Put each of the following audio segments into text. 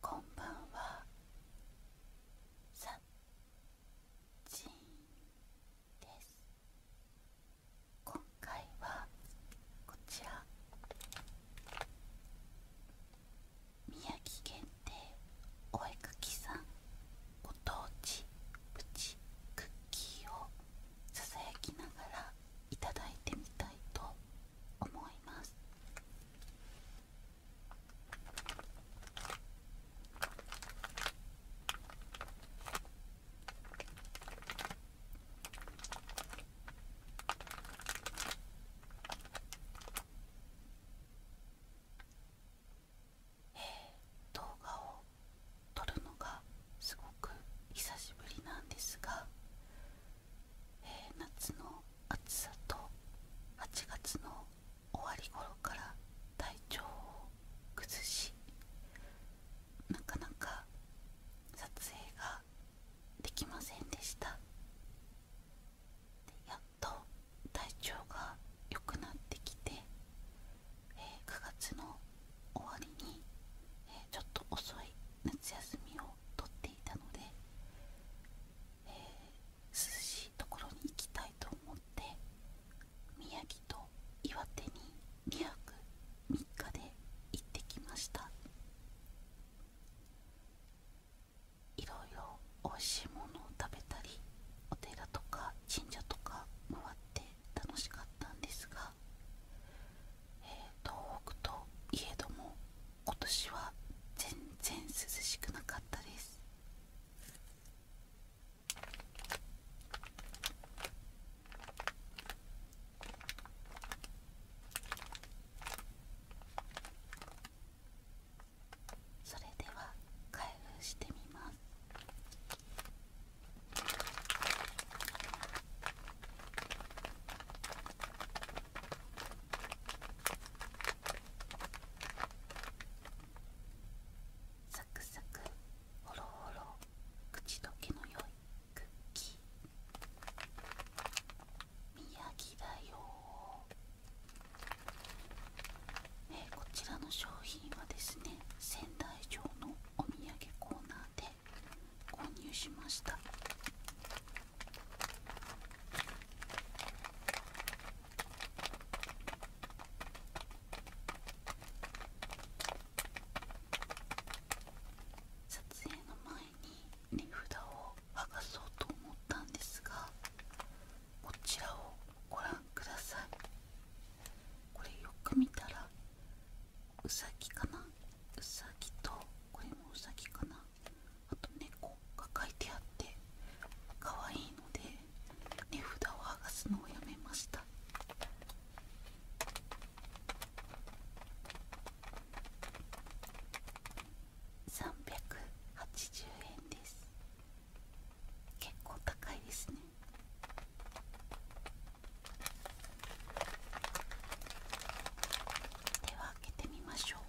こんばんはさっちんです。今回はこちら宮城限定お絵かきさんご当地プチクッキーをささやきながらいただいてみたいと思いますえ、動画を撮るのがすごく久しぶりなんですが、え夏の暑さと8月の終わり頃から体調を崩しなかなか撮影ができませんでしたやっと体調が良くなってきて、え9月の終わりに、えちょっと遅い夏休みを取っていたので、え涼しいところに行きたいと思って宮城と岩手に2泊3日で行ってきましたいろいろおいしいものを食べたりお寺とか神社とか回って楽しかったんですが、え東北といえども今年は全然涼しくなかったですそれでは開封してみますサクサクホロホロ口どけの良いクッキー宮城だよー、こちらの商品はですね仙台城のお土産コーナーで購入しました撮影の前に値札を剥がそうと思ったんですがこちらをご覧くださいこれよく見たらうさぎかなうさぎとこれもうさぎかなあと猫が描いてあって可愛いので値札を剥がすのをやめました380円です結構高いですねでは開けてみましょう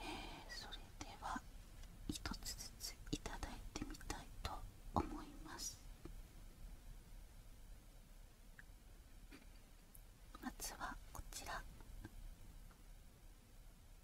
えそれでは1つずついただいてみたいと思いますまずはこちら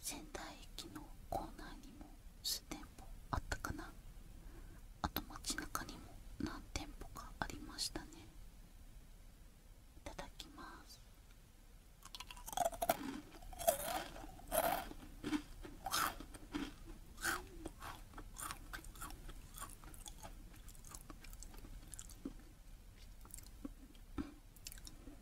仙台駅の構内にも数店舗あったかなあと街中にも何店舗かありましたねいただきます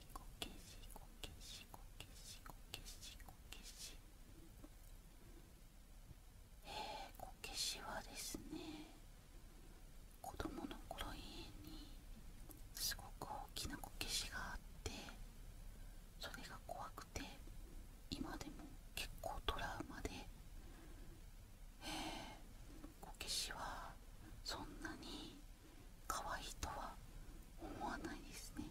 しこけしこけしこけしこけしこけしえこけしはですね子供の頃家にすごく大きなこけしがあってそれが怖くて今でも結構トラウマでえー、こけしはそんなに可愛いとは思わないですね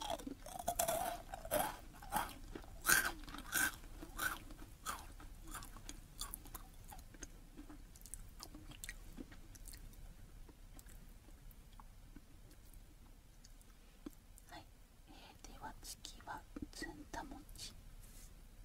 はい、えー、では次はずんだ餅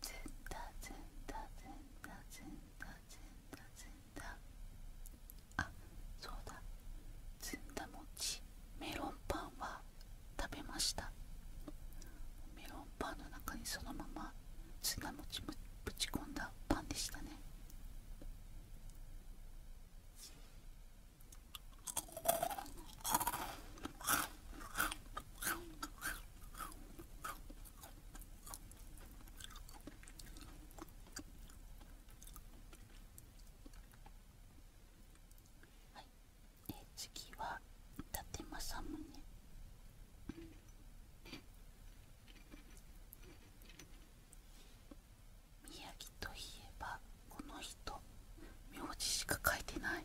ずんだずんだずんだずんだずんだずんだあそうだずんだ餅メロンパンは食べましたメロンパンの中にそのままずんだ餅ぶち込んだパンでしたねはい、え次は伊達政宗宮城といえばこの人名字しか書いてない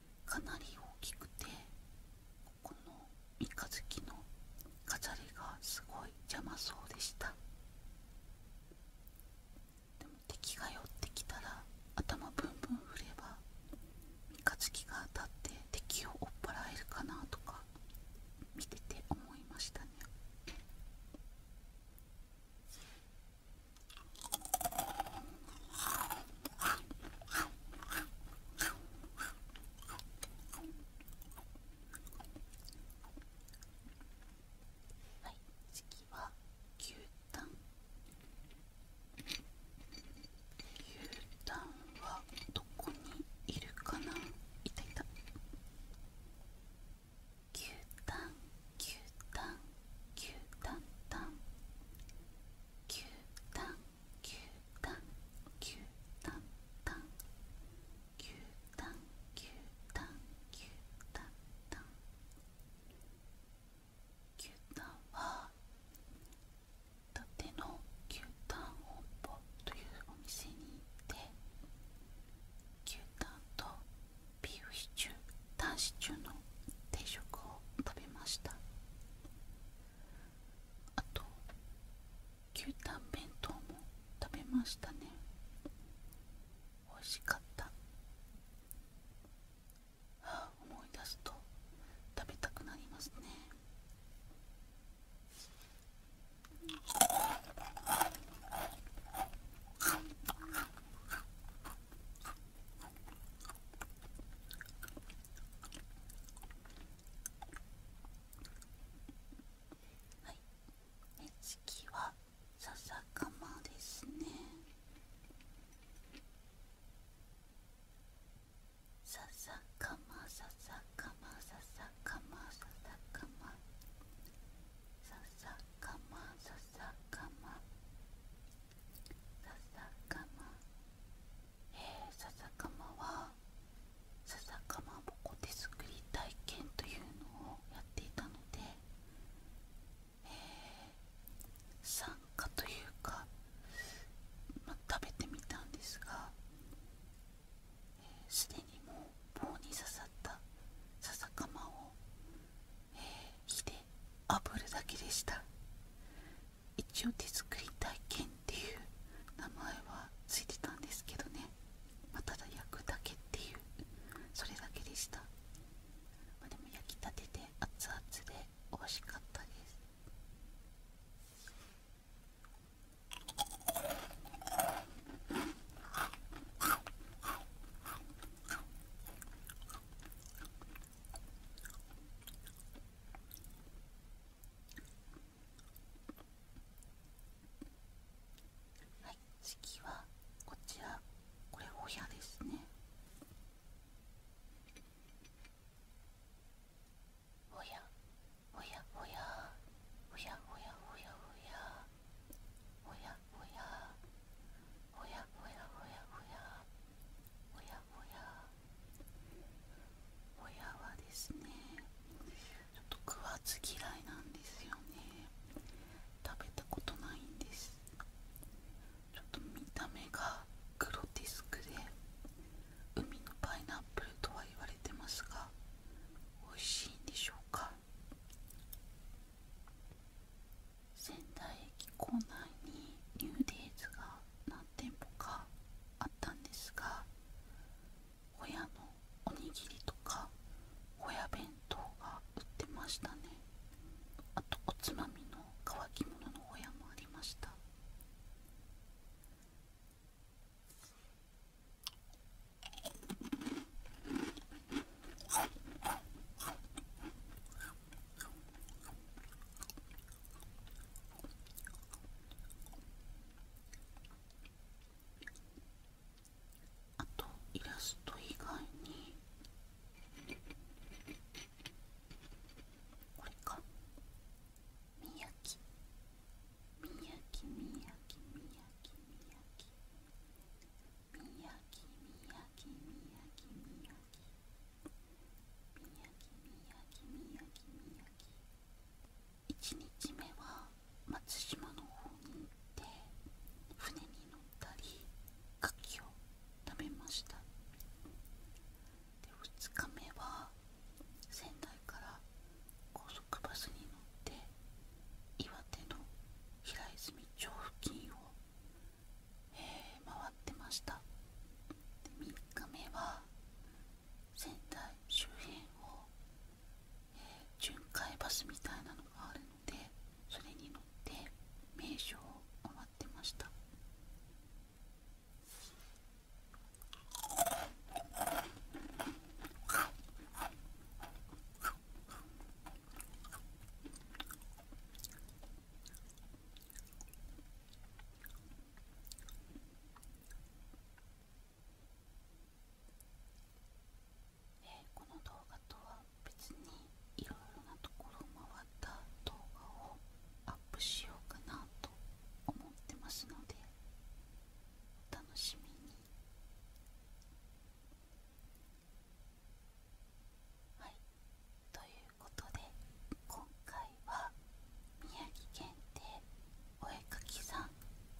かなり大きくてここの三日月の飾りがすごい邪魔そうでしたでも敵が寄ってきたら頭ブンブン振れば三日月が当たって敵を追っ払えるかなとか見てて思いましたねはい次は牛タン牛タンはどこにいるかないたいた牛タン牛タン牛タンタン牛タン牛タン牛タンタン牛タン牛タンタンタン牛タンは伊達の牛タン本舗というお店に行って牛タンとビーフシチュー男子中の定食を食べましたあと牛タン弁当も食べましたね美味しかったあ思い出すと食べたくなりますねはい目つきはささかまですねささかまささかまささかまささかまささかまささかまさ笹かまえー、笹かまは笹かまぼこ手作り体験というのをやっていたので、え参加というか、ま、食べてみたんですがすで、にもう棒に刺さった笹かまを火で炙るだけでした一応手作り体験っていう名前はついてたんですけどね、まただ焼くだけっていうそれだけでした、まあ、でも焼きたてで熱々で美味しかったですはい次はこちらこれお部ですねおやおやおやおやおやおやおやほやほやほやほやほやほやほやほやほやはですねちょっと食わず嫌いなんですよね食べたことないんですちょっと見た目がグロテスクで海のパイナップルとは言われてますが美味しいんでしょうか仙台駅構内にニューデイズが何店舗かあったんですがホヤのおにぎりとかホや弁当が売ってましたねあとおつまみの乾き物のホやもありましたあとイラスト以外にこれかみやきみやきみやきみやきみやきみやきみやきみやきみやきみやきみやき宮城宮城宮城宮城宮城宮城宮城宮城1日目は松島の方に行って船に乗ったり牡蠣を食べましたで2日目は仙台から高速バスに乗って岩手の平泉町付近を、え回ってました3日目は仙台周辺を、え巡回バスみたいなのがあるのでそれに乗って名称を回ってましたこの動画とは別にいろいろなところを回った動画をアップしようかなと思ってますのでお楽しみにはいということで今回は宮城県でお絵かきさん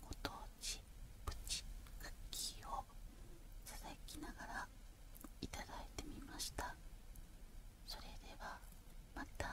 ご当地プチクッキーをささやきながらいただいてみましたそれではまた